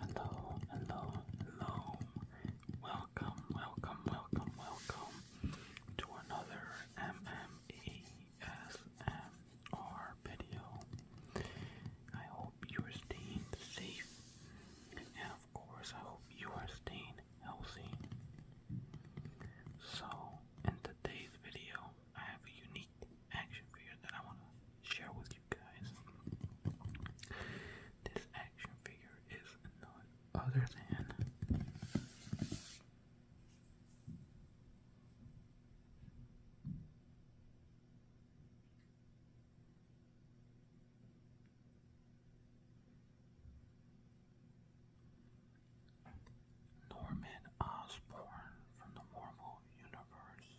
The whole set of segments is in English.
Hello, hello, hello. Welcome, welcome, welcome, welcome to another MMESMR video. I hope you are staying safe, and of course, I hope you are staying healthy. So, in today's video, I have a unique action figure that I want to share with you guys. This action figure is none other than Norman Osborn from the Marvel Universe.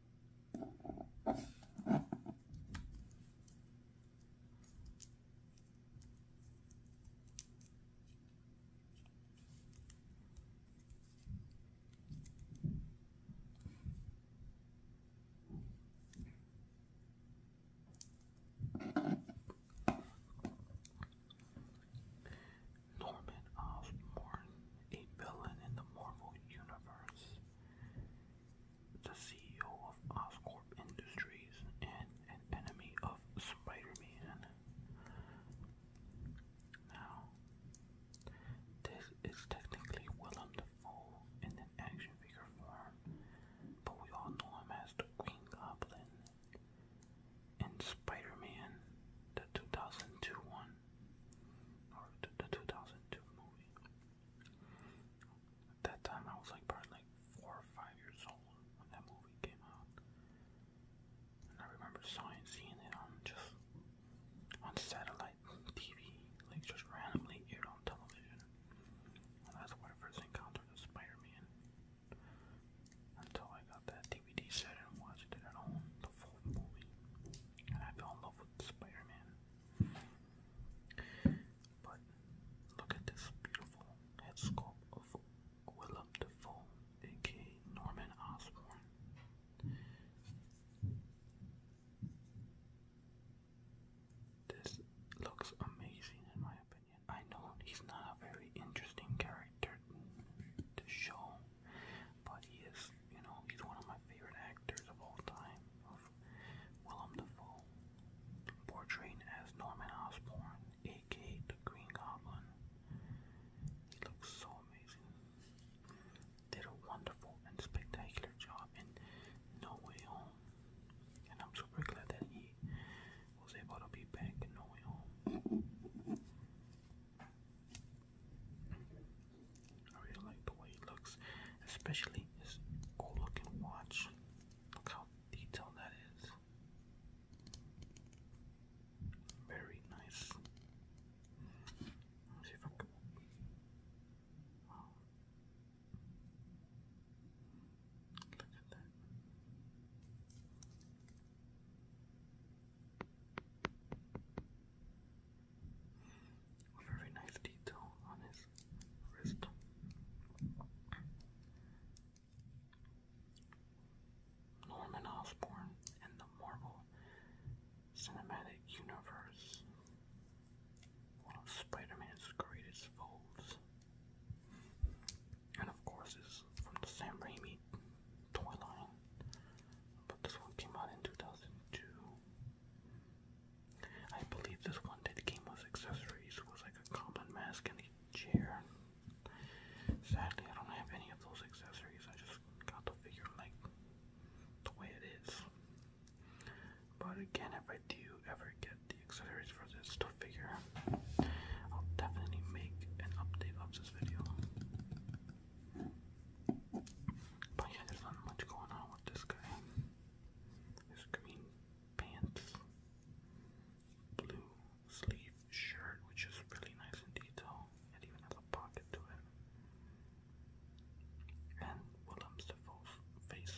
Norman of a villain in the Marvel Universe the CEO of Oscorp Industries and an enemy of Spider-Man. Now, this is technically Willem Dafoe in an action figure form, but we all know him as the Green Goblin in Spider-Man, the 2002 one or the, 2002 movie. that time, I was like probably four or five years old when that movie came out, and I remember seeing seeing it on just on satellite TV, like just randomly aired on television. that's when I first encountered Spider-Man. Until I got that DVD set and watched it at home, the full movie, and I fell in love Spider-Man. But look at this beautiful head sculpt of Willem Dafoe, aka Norman Osborn. This looks amazing in my opinion. I know he's not a very interesting character to show but he is, you know, he's one of my favorite actors of all time. Willem Dafoe, portrayed as Norman Osborn, aka the Green Goblin. He looks so amazing. Did a wonderful and spectacular job in No Way Home. And I'm super glad that he was able to be back in No Way Home. I really like the way it looks, especially his cool looking watch. Look how detailed that is. Very nice. Let's see if I can. Wow. Look at that. A very nice detail on his wrist. Norman Osborn in the Marvel Cinematic Universe, one of Spider Man's greatest foes. And of course, is from the Sam Raimi toy line, but this one came out in 2002. I believe this one that came with accessories was like a common mask and a chair. Sadly, I don't have any of those accessories. I just got the figure like the way it is. But again, if I do ever get the accessories for this to figure, I'll definitely make an update of this video. But yeah, there's not much going on with this guy. His green pants, blue sleeve shirt, which is really nice in detail. It even has a pocket to it. And Willem's Defoe's face.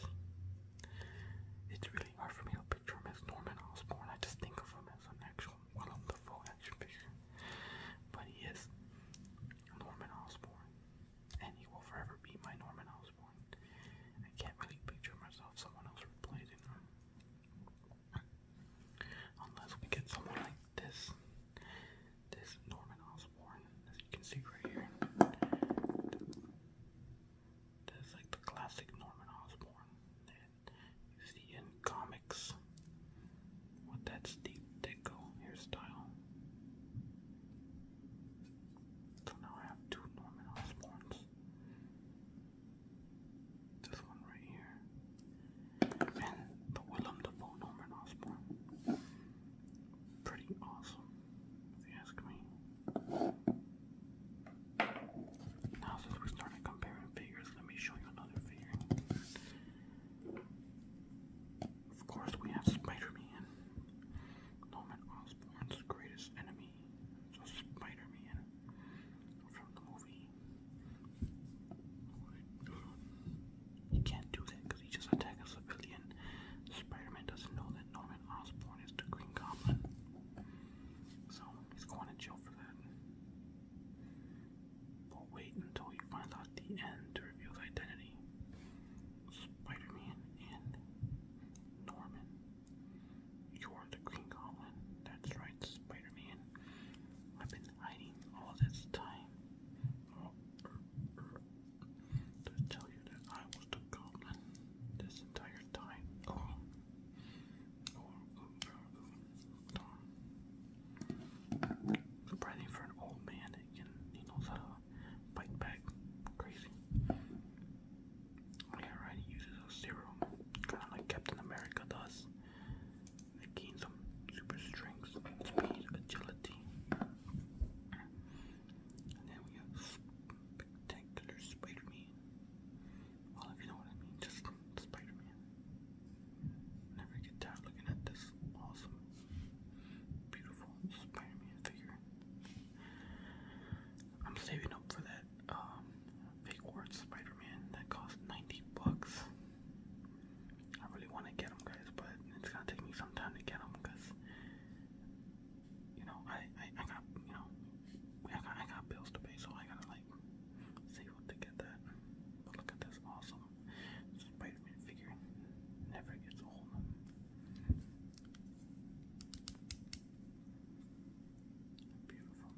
It's really hard for me to picture him as Norman Osborn. I just think of him as an actual well, I'm the full action figure, but he is Norman Osborn, and he will forever be my Norman Osborn. I can't really picture myself someone else replacing him, unless we get someone like this, this Norman Osborn, as you can see right here. That's like the classic Norman Osborn. You in comics with that steep deco hairstyle. So now I have two Norman Osborns. This one right here. And the Willem Dafoe Norman Osborn. Pretty awesome, if you ask me. Now since we're starting comparing figures, let me show you another figure. Of course, we have Spider Man, Norman Osborn's greatest enemy. So, Spider Man from the movie. He can't do that because he just attacked a civilian. Spider Man doesn't know that Norman Osborn is the Green Goblin. So, he's going to jail for that but wait until you find out the end to reveal the identity. Spider Man and Norman. You're the Green Goblin. That's right, Spider Man. I've been hiding all this time. Oh, to tell you that I was the goblin this entire time. Oh. Oh, Hold for an old man that can, he knows how uh, to bite back. Crazy. Yeah, right, he uses a serum. Kind of like Captain America does. It some super strength, speed, agility. And then we have Spectacular Spider Man. Well, if you know what I mean, just Spider-Man. Never get tired looking at this awesome, beautiful Spider-Man figure. I'm saving up for that um, fake words Spider-Man that cost 90 bucks. I really want to get them, guys, but it's gonna take me some time to get them because you know I I, I got you know I got, I got bills to pay, so I gotta like like, so you want to get that. Oh, look at this awesome spider figure. Never gets old. Beautiful.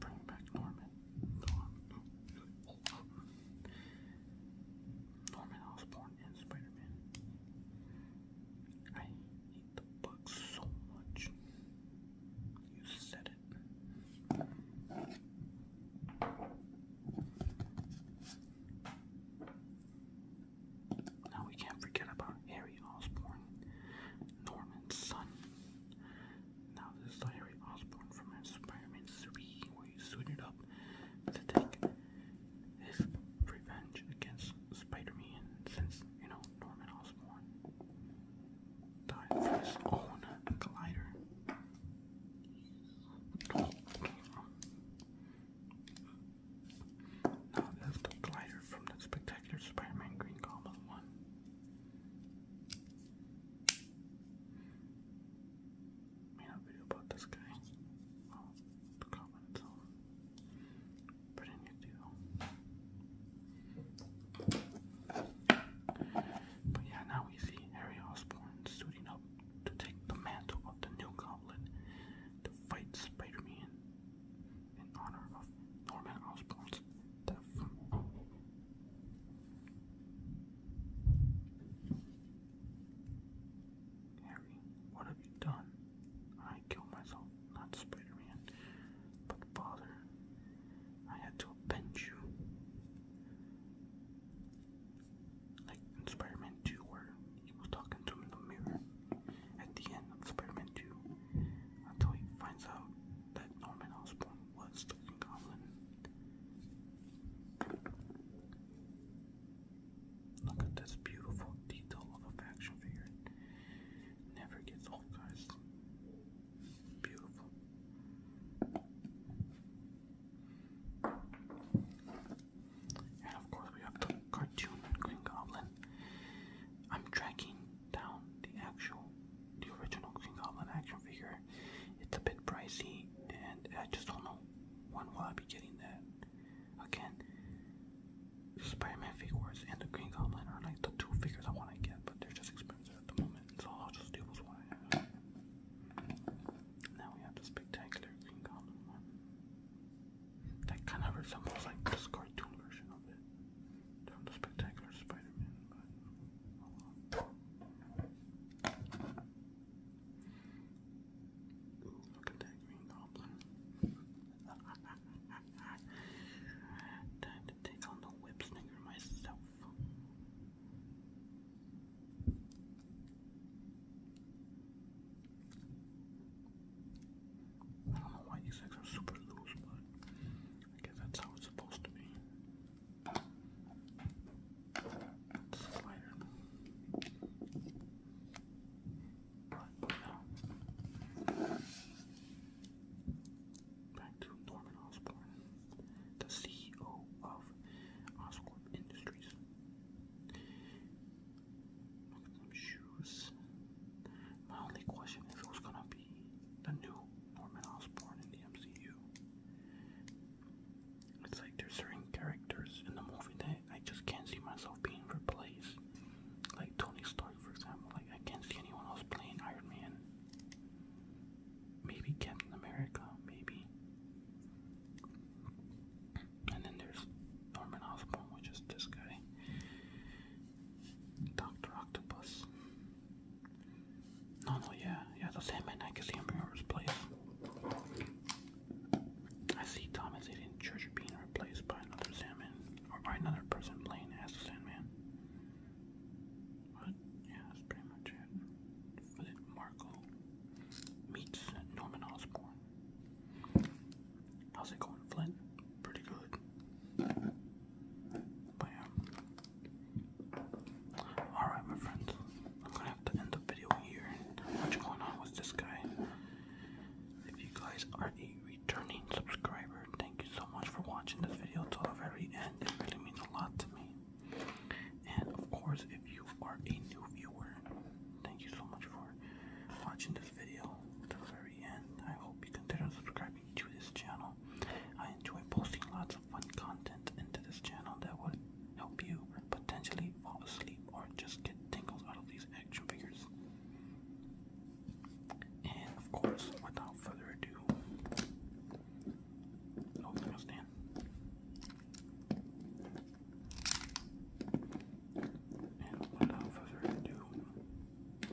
Bring back Norman. Norman Osborn and Spider-Man. I hate the book so much. You said it. Now we can't forget about Harry Osborn, Norman's son. Now this is the Osborn from Spider-Man 3, where he suited up to take his revenge against Spider-Man since, you know, Norman Osborn died from his own collider. Now that's the glider from the Spectacular Spider-Man Green Goblin one made a video about this guy. Well, the comment But in your deal. But yeah, now we see Harry Osborn suiting up to take the mantle of the new goblet to fight Spider-Man in honor of Norman Osborn's death. Harry, what have you done? I killed myself, not Spider Man. But father, I had to avenge you. Like in Spider Man 2, where he was talking to him in the mirror at the end of Spider Man 2, until he finds out that Norman Osborn was Green Goblin. Look at this beautiful detail of a faction figure. never gets old, guys. Beautiful. And of course, we have the cartoon Green Goblin. I'm tracking down the actual, the original Green Goblin action figure. It's a bit pricey, and I just don't know when will I be getting that. Again, the Spider-Man figures and the Green Goblin are like the two figures I want to get, but they're just expensive at the moment, so I'll just deal with what I have. Now we have the spectacular Green Goblin one. That kind of resembles like this cartoon version of it. Not the spectacular Spider-Man, but Look at that green goblin. Time to take on the whip myself. I don't know why these eggs are super loose, but I guess that's how it's supposed to be. Slider. back to Norman Osborn, the CEO of Oscorp Industries. Look at them shoes. My only question is who's gonna the new Norman Osborn in the MCU. It's like there's certain characters in the movie that I just can't see myself being replaced. Like Tony Stark, for example. Like I can't see anyone else playing Iron Man. Maybe Captain America, maybe. And then there's Norman Osborn, which is this guy. Doctor Octopus. No, no, yeah, yeah, the Sandman. I can see him being I see Thomas Hayden Church being replaced by another Sandman, or by another person playing as the Sandman. But yeah, that's pretty much it. Marco meets Norman Osborn. How's it going, Flint? Pretty good. Bam. Alright, my friends. I'm gonna have to end the video here. What's going on with this guy? If you guys are a returning subscriber, thank you so much for watching this video till the very end. It really means a lot to me. And of course, if you are a new viewer, thank you so much for watching this video till the very end. I hope be subscribing to this channel. I enjoy posting lots of fun content into this channel that will help you potentially fall asleep or just get tingles out of these action figures. And of course, without further ado, oh, there goes And without further ado, well,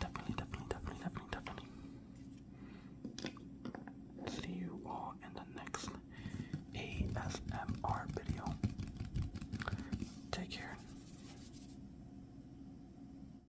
definitely, definitely, definitely, definitely, definitely see you all in the next ASMR video. Take care.